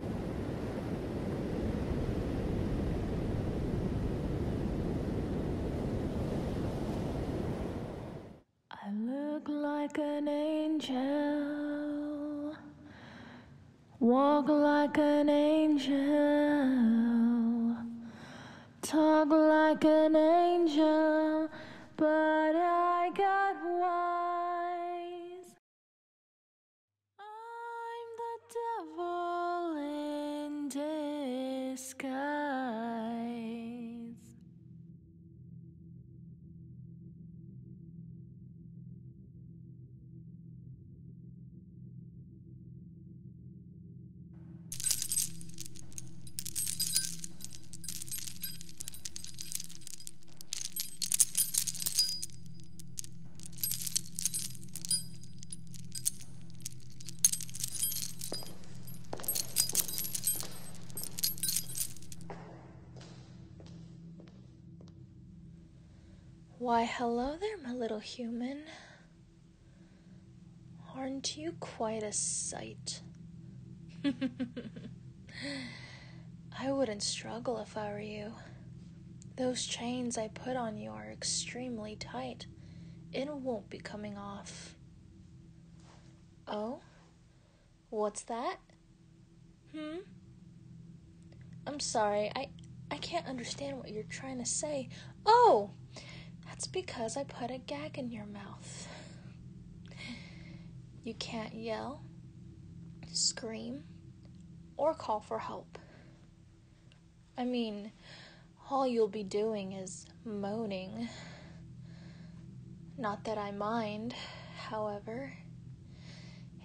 I look like an angel, walk like an angel, talk like an angel, but I got wise. I'm the devil in disguise. Why, hello there, my little human. Aren't you quite a sight? I wouldn't struggle if I were you. Those chains I put on you are extremely tight. It won't be coming off. Oh? What's that? Hmm? I'm sorry. I I can't understand what you're trying to say. Oh, that's because I put a gag in your mouth. You can't yell scream, or call for help. I mean, all you'll be doing is moaning. Not that I mind, however.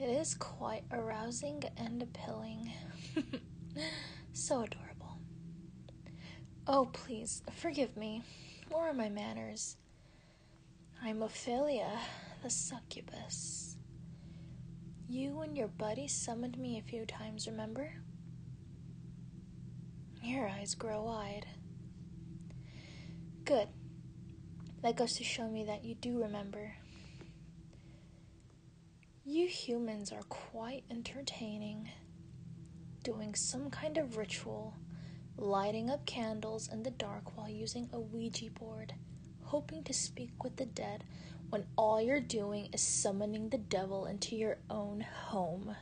It is quite arousing and appealing. so adorable. Oh, please, forgive me. More of my manners? I'm Ophelia, the succubus. You and your buddies summoned me a few times, remember? Your eyes grow wide. Good. That goes to show me that you do remember. You humans are quite entertaining doing some kind of ritual, lighting up candles in the dark while using a Ouija board, hoping to speak with the dead when all you're doing is summoning the devil into your own home.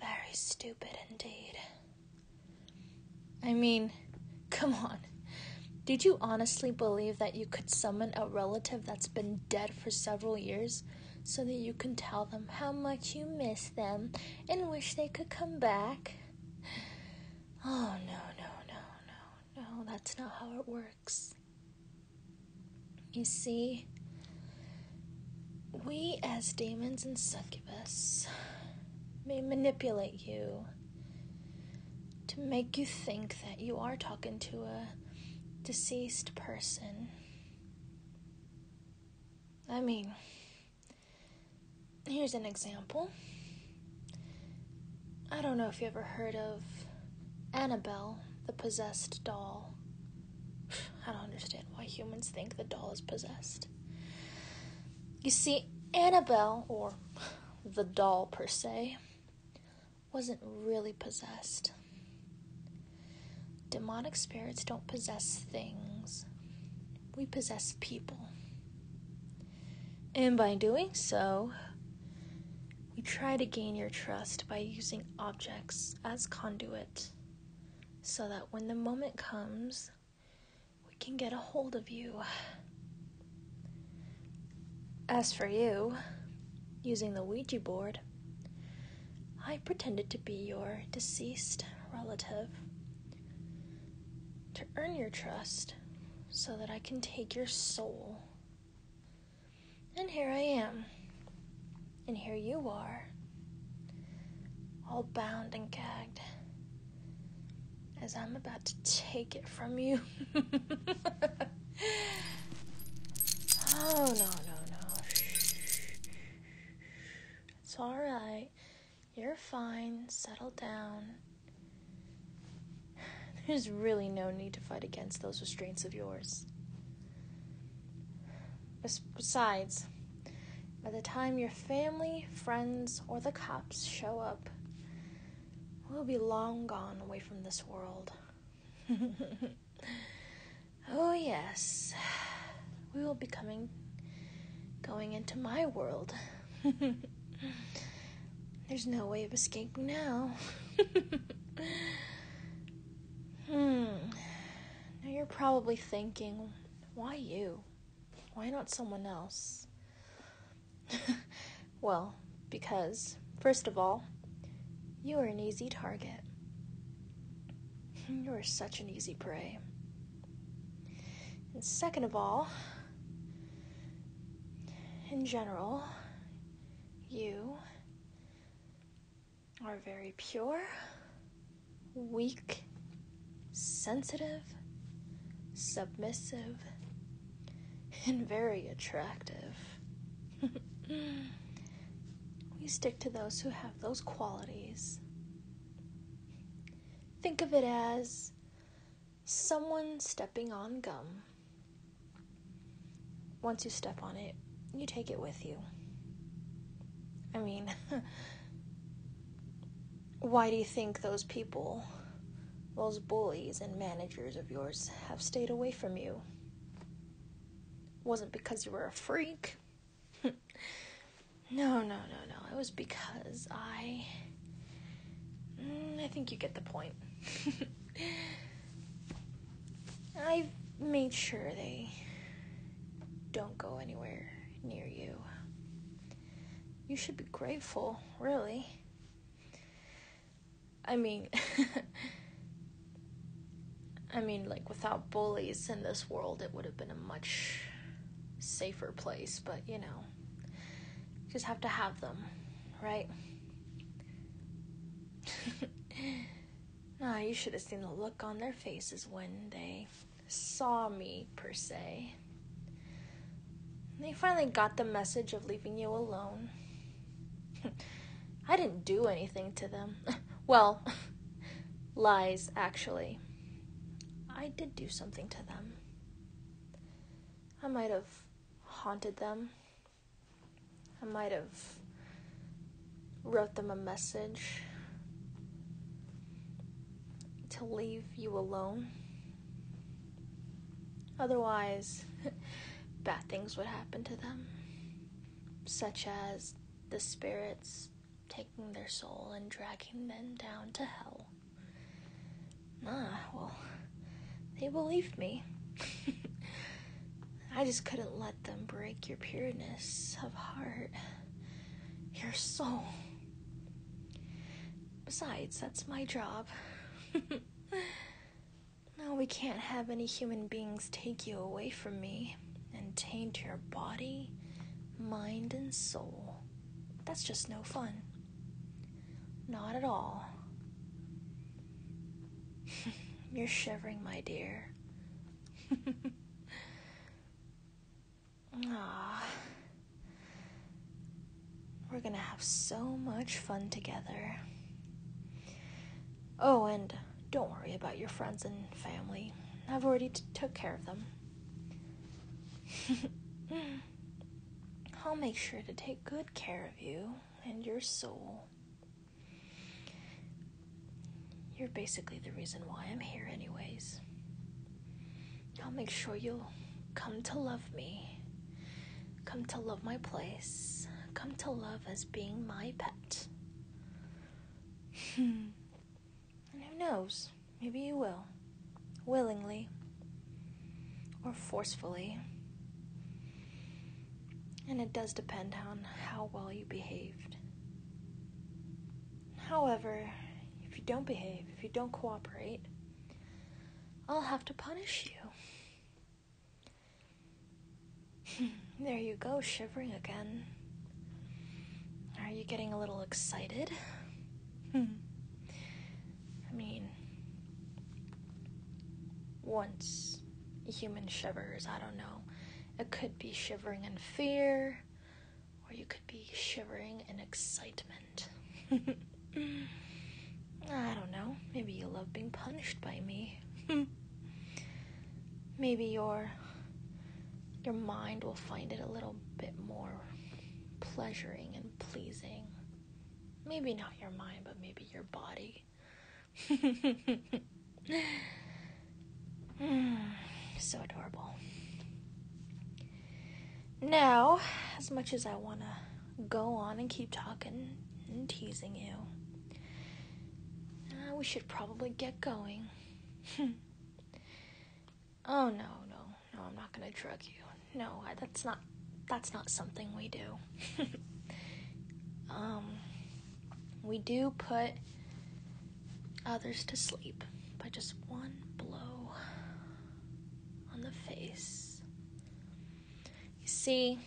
Very stupid indeed. I mean, come on. Did you honestly believe that you could summon a relative that's been dead for several years so that you can tell them how much you miss them and wish they could come back. Oh, no, no, no, no, no, that's not how it works. You see, we as demons and succubus may manipulate you to make you think that you are talking to a deceased person. I mean, here's an example. I don't know if you ever heard of Annabelle, the possessed doll. I don't understand why humans think the doll is possessed. You see, Annabelle, or the doll per se, wasn't really possessed. Demonic spirits don't possess things, we possess people. And by doing so, we try to gain your trust by using objects as conduit so that when the moment comes, we can get a hold of you. As for you, using the Ouija board, I pretended to be your deceased relative to earn your trust so that I can take your soul. And here I am. And here you are, all bound and gagged, as I'm about to take it from you. oh, no, no, no. It's alright. You're fine. Settle down. There's really no need to fight against those restraints of yours. Besides, by the time your family, friends, or the cops show up, we'll be long gone away from this world. Oh, yes. We will be coming, going into my world. There's no way of escaping now. hmm. Now you're probably thinking, why you? Why not someone else? Well, because, first of all, you are an easy target. You are such an easy prey. And second of all, in general, you are very pure, weak, sensitive, submissive, and very attractive. we stick to those who have those qualities. Think of it as someone stepping on gum. Once you step on it, you take it with you. I mean, why do you think those people those bullies and managers of yours have stayed away from you wasn't because you were a freak. no, no, no, no. It was because I. Mm, I think you get the point. I've made sure they don't go anywhere near you. You should be grateful, really. I mean, I mean, like, without bullies in this world, it would have been a much safer place, but you know, you just have to have them, right? ah, you should have seen the look on their faces when they saw me, per se. They finally got the message of leaving you alone. I didn't do anything to them. well, lies, actually. I did do something to them. I might have haunted them. I might have wrote them a message to leave you alone. Otherwise, bad things would happen to them, such as the spirits taking their soul and dragging them down to hell. Ah, well, they believed me. I just couldn't let them break your pureness of heart, your soul. Besides, that's my job. Now we can't have any human beings take you away from me and taint your body, mind, and soul. That's just no fun. Not at all. You're shivering, my dear. Aww. We're gonna have so much fun together. Oh, and don't worry about your friends and family. I've already took care of them. I'll make sure to take good care of you and your soul. You're basically the reason why I'm here, anyways. I'll make sure you'll come to love me, come to love my place, come to love as being my pet. and hmm. who knows, maybe you will, willingly or forcefully. And it does depend on how well you behaved. However, if you don't behave, if you don't cooperate, I'll have to punish you. there you go, shivering again. Are you getting a little excited? Hmm. I mean, once a human shivers, I don't know, it could be shivering in fear or you could be shivering in excitement. I don't know. Maybe you love being punished by me. Maybe your your mind will find it a little bit more pleasuring and pleasing. Maybe not your mind, but maybe your body. so adorable. Now, as much as I want to go on and keep talking and teasing you, uh, we should probably get going. Hmm. oh no, no, no! I'm not gonna drug you. No, that's not that's not something we do. um, we do put others to sleep by just one blow on the face. You see,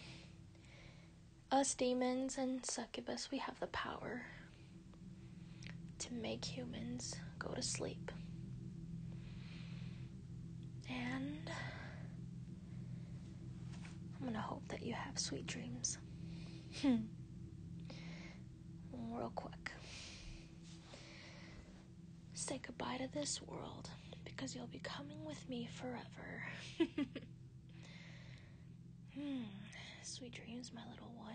us demons and succubus, we have the power to make humans go to sleep. And I'm gonna hope that you have sweet dreams. Hmm real quick. Say goodbye to this world because you'll be coming with me forever. hmm. Sweet dreams, my little one.